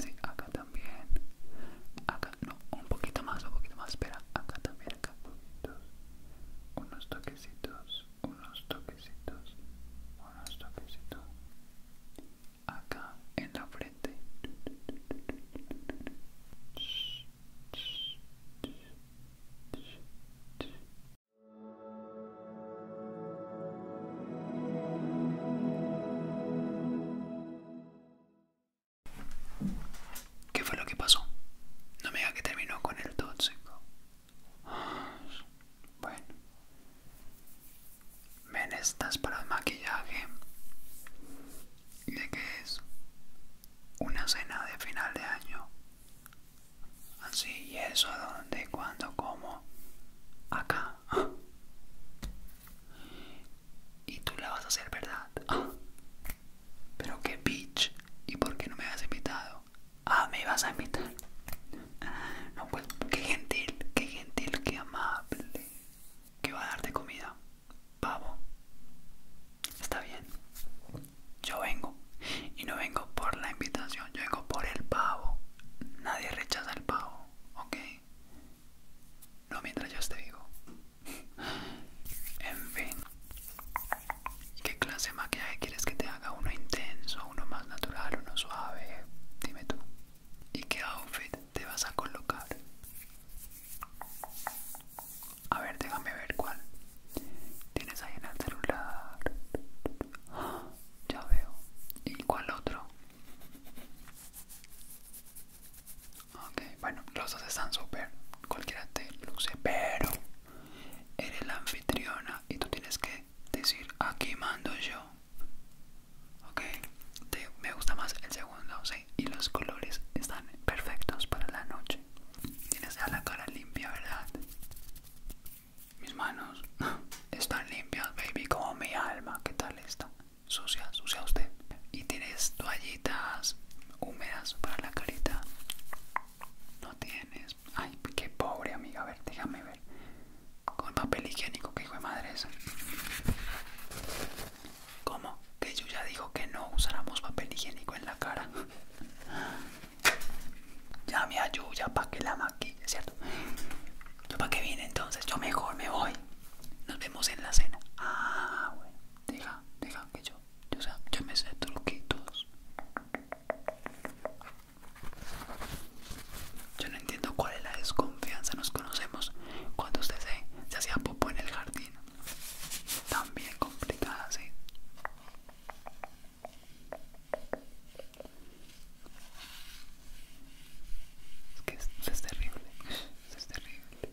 Sí, acá también. Acá, no, un poquito más, un poquito más. Espera, acá también, acá. Unos toquecitos, unos toquecitos, unos toquecitos. Acá en la frente. ¿Qué fue lo que pasó? No me diga que terminó con el tóxico. Bueno. Ven estas para el maquillaje. ¿De qué es? Una cena de final de año. Así, ¿y eso dónde? ¿Cuándo? como, Acá. Y tú la vas a hacer, ¿verdad? Pero qué bitch. ¿Y por qué no me has invitado? Ah, me vas a invitar. No, pues, qué gentil, qué gentil, qué amable. ¿Qué va a darte comida? Pavo. Está bien yo vengo. Y no vengo por la invitación, yo vengo por el pavo. Nadie rechaza el pavo, ¿ok? No mientras yo esté vivo. en fin. ¿Qué clase de maquillaje quieres que te haga? ¿Uno intenso, uno más natural, uno suave? Dime tú. ¿Y qué outfit te vas a colocar? A ver, déjame ver cuál. Tienes ahí en el celular. Ya veo. ¿Y cuál otro? Ok, bueno, los dos están súper. Cualquiera te luce, pero eres la anfitriona y tú tienes que decir aquí mando yo. Ok, me gusta más el segundo, sí. Y los colores están perfectos para la noche. Tienes a la cara limpia, ¿verdad? Mis manos están limpias, baby, como mi alma. ¿Qué tal está? Sucia, sucia usted. Y tienes toallitas húmedas para la carita. No tienes. Ay, qué pobre amiga. A ver, déjame ver. Con papel higiénico, que hijo de madre es. ¿Cómo? Que yo ya dijo que no usáramos papel higiénico en la cara. Ya me ayuda para que la maquille, ¿cierto? ¿Yo para qué vine entonces? Yo mejor me voy. Nos vemos en la cena. Ah, bueno. Deja, deja que yo. Yo, sé, yo me sé truquitos. Yo no entiendo cuál es la desconfianza. Nos conocemos cuando usted se, hacía popo en el jardín. También complicada, sí. Es que es terrible, es terrible.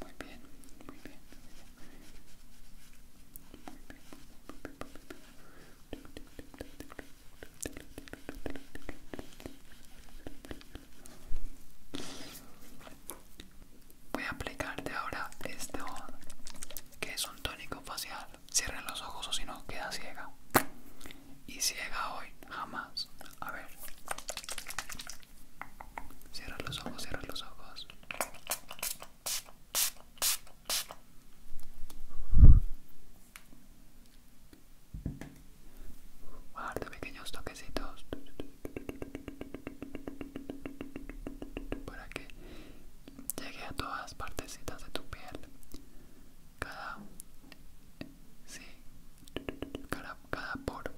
Muy bien, muy bien, Voy a aplicarte ahora este que es un tónico facial. Cierra los ojos o si no queda ciega. Y ciega hoy, jamás. A ver. Cierra los ojos, cierra los ojos. Guardo pequeños toquecitos para que llegue a todas las partecitas de tu piel. Cada, sí, cada, por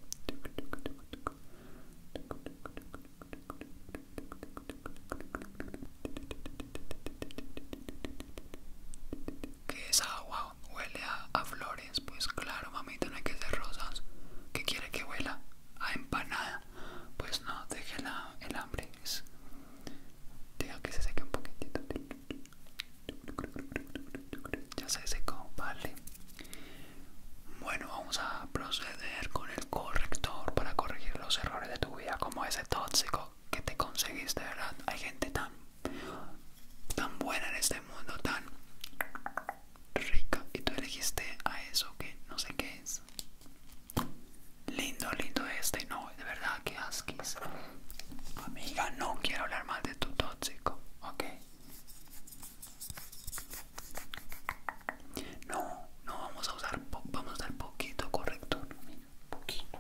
que esa agua huele a, flores, pues claro, mamita, no hay que hacer rosas. ¿Qué quiere que huela? A empanada. Pues no, déjela el hambre. Es... que se seque un poquitito. Ya se secó, vale. Bueno, vamos a proceder con el corrector para corregir los errores de tu vida, como ese tóxico que te conseguiste, ¿verdad? Hay gente tan, tan buena en este mundo, tan rica, y tú elegiste a eso que no sé qué es. Lindo, lindo este, no, de verdad que asquis. Amiga, no quiero hablar más de tu tóxico, ¿ok? No, no vamos a usar, vamos a usar poquito corrector. Poquito.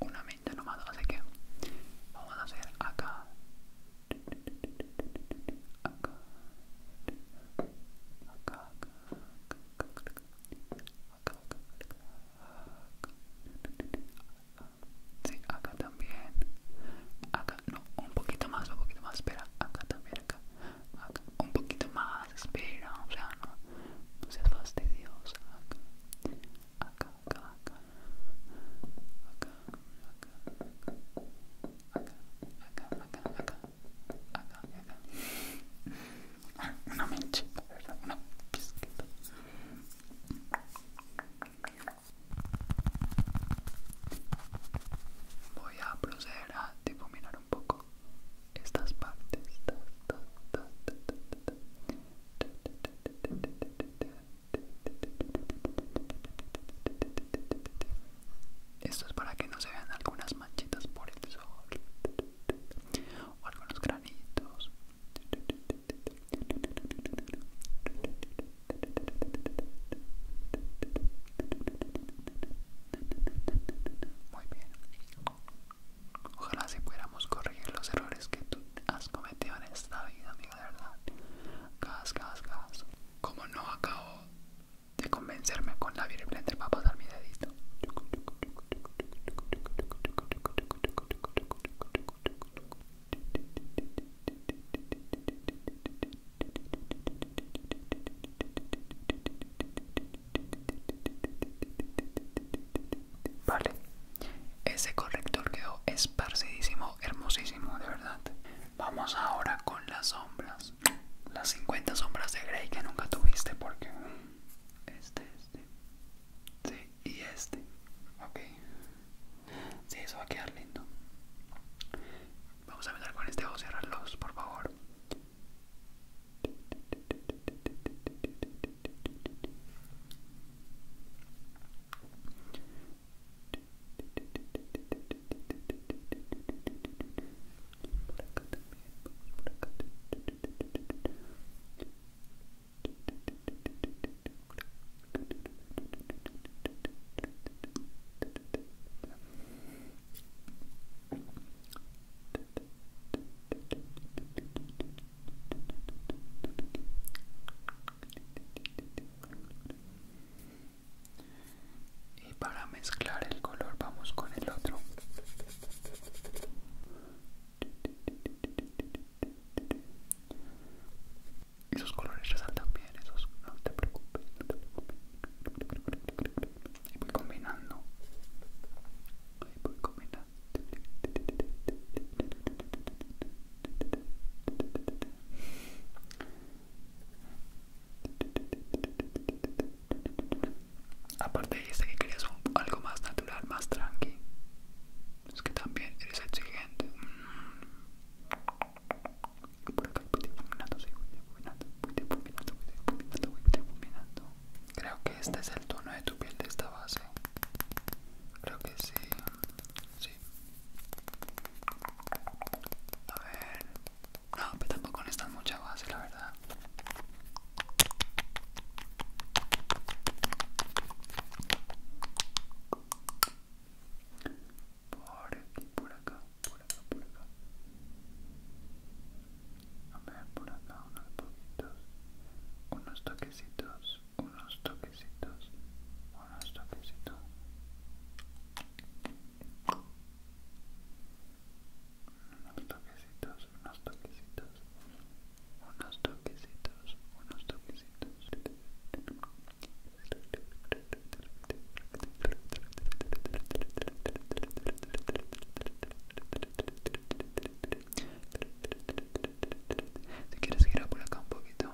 Una nomás, así que vamos a hacer acá. Acá. Acá, acá, acá, acá, sí, acá también, acá, no, un poquito más, un poquito más, espera, acá también, acá, un poquito más, espera, o sea, no, no fastidiosa, acá, acá, acá, acá, acá, acá, acá, ¿verdad? Una Voy a proceder para difuminar un poco estas partes esto es para que no se vean algunas manchitas por el sol o algunos granitos muy bien. Ojalá si pudiéramos corregir los errores que tú has cometido en esta vida, amiga, de verdad. Gas, gas, gas. Como no acabo de convencerme con la Beauty Blender para pasar mi dedito. Vale, ese corrector quedó esparcidísimo, hermosísimo, de verdad. Vamos ahora con las sombras. Las 50 sombras de Grey que nunca tuviste porque... Este, este. y este. Ok. Sí, eso va a quedar lindo. Vamos a ver con este o por favor. Y para mezclar el color vamos con el otro y los colores resaltan bien esos no te preocupes, no te preocupes. voy combinando Ahí voy combinando Aparte dice que querías algo más natural, más tranqui. Es que también eres exigente que por acá voy difuminando, sí, voy difuminando, voy difuminando, voy difuminando, voy difuminando. Creo que este es el tono de tu piel de esta base. Creo que sí, sí. A ver, no, pero tampoco necesitas mucha base, la verdad. Por aquí, por acá, por acá, por acá. A ver, por acá unos poquitos. Unos toquecitos, unos toquecitos, unos toquecitos. Unos toquecitos, unos toquecitos, unos toquecitos, unos toquecitos. Si quieres girar por acá un poquito.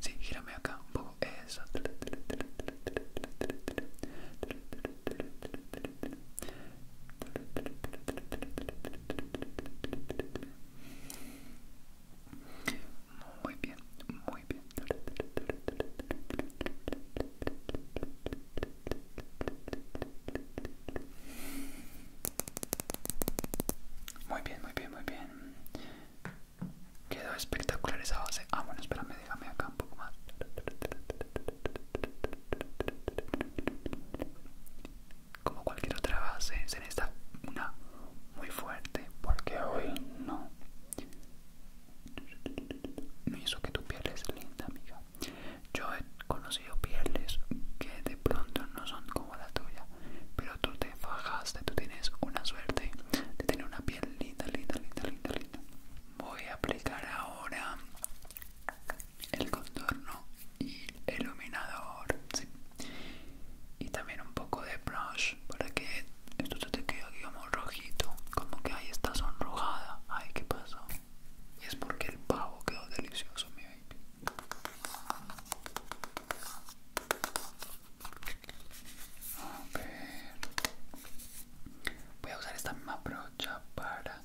Sí, girame acá un poco. Eso. Muy bien, muy bien. Muy bien, muy bien, muy bien. Quedó espectacular esa base. Ah, bueno, espérame, déjame acá un poco más como cualquier otra base se necesita una muy fuerte porque hoy no me hizo que tu piel es linda amiga yo he conocido pieles que de pronto no son como la tuya pero tú te fajaste tú tienes una suerte de tener una piel linda linda linda linda linda voy a aplicar ahora el contorno y el iluminador y también un poco de brush para que esto te quede como rojito como que ahí está sonrojada ay qué pasó y es porque el pavo quedó delicioso mi baby a ver voy a usar esta misma brocha para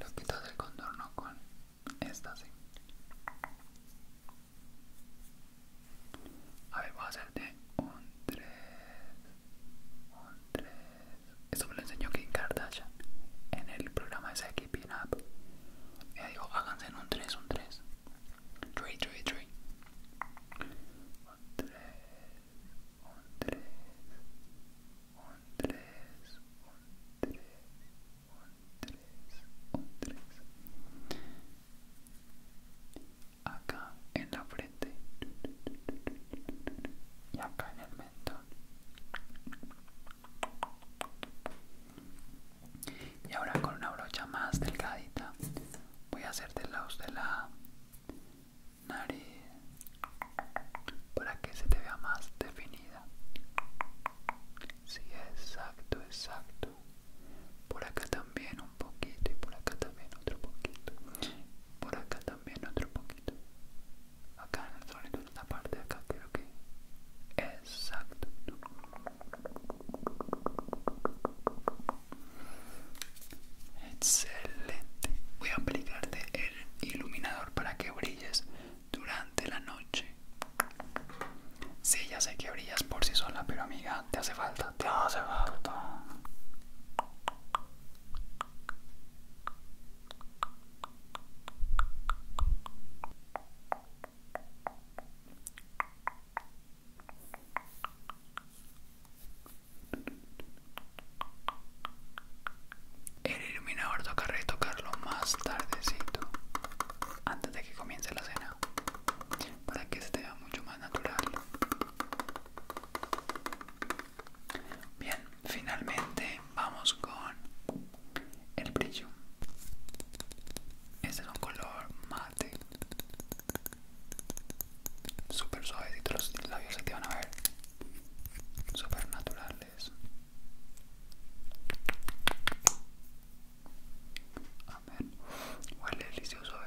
loquito del contorno con esta sí. A ver, voy a hacerte un 3. Un 3. Esto me lo enseñó Kim Kardashian en el programa ese de Keeping Up. Ella dijo, háganse en un 3, un 3. 3, 3, 3. Un 3, un 3, un 3, un 3, un 3 acá en la frente y acá en el mentón y ahora con una brocha más delgadita voy a hacer del lado de la nariz para que se te vea más definida. Sí, exacto, exacto. Por acá también un poquito y por acá también otro poquito. Por acá también otro poquito. Acá en el en parte de acá creo que... Exacto. Excelente. Voy a aplicarte el iluminador para que brilles durante la noche. Sí, ya sé que brillas por sí sola, pero amiga, te hace falta, te hace falta. El iluminador tocaré tocarlo más tardecito, antes de que comience la cena, para que se vea mucho más natural. Bien, finalmente vamos con el brillo. Este es un color mate, súper suavecito, los labios se te van a ver, súper natural grandes. Amén. Huele delicioso, a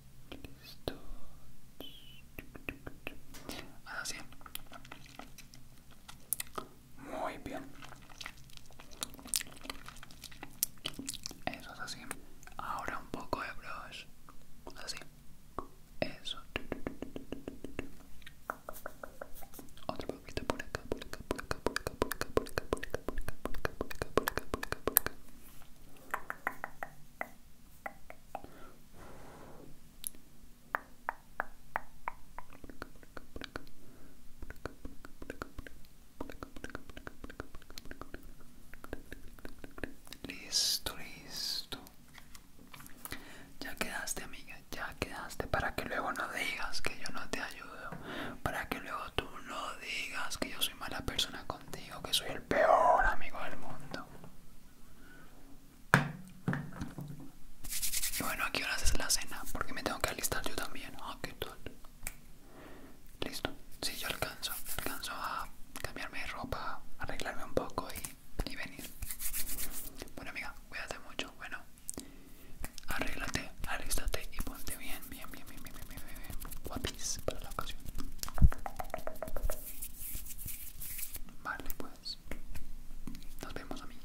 Listo. Así. Muy bien. Eso es así. Ahora un poco de brush. Así. Eso. Otro poquito por acá, por acá, por acá, por Listo, listo. Ya quedaste, amiga, ya quedaste para que luego no digas que yo no te ayudo, para que luego tú no digas que yo soy mala persona contigo, que soy el peor amigo del mundo. Y Bueno, aquí ahora haces la cena? Porque me tengo que alistar yo también. Ah, Listo. Sí, yo alcanzo. Alcanzo a cambiarme de ropa, arreglarme un poco y, venir. Bueno, amiga, cuídate mucho. Bueno, arréglate, alístate y ponte bien, bien, bien, bien, bien, bien, bien, bien, bien. para la ocasión. Vale, pues. Nos vemos, mí.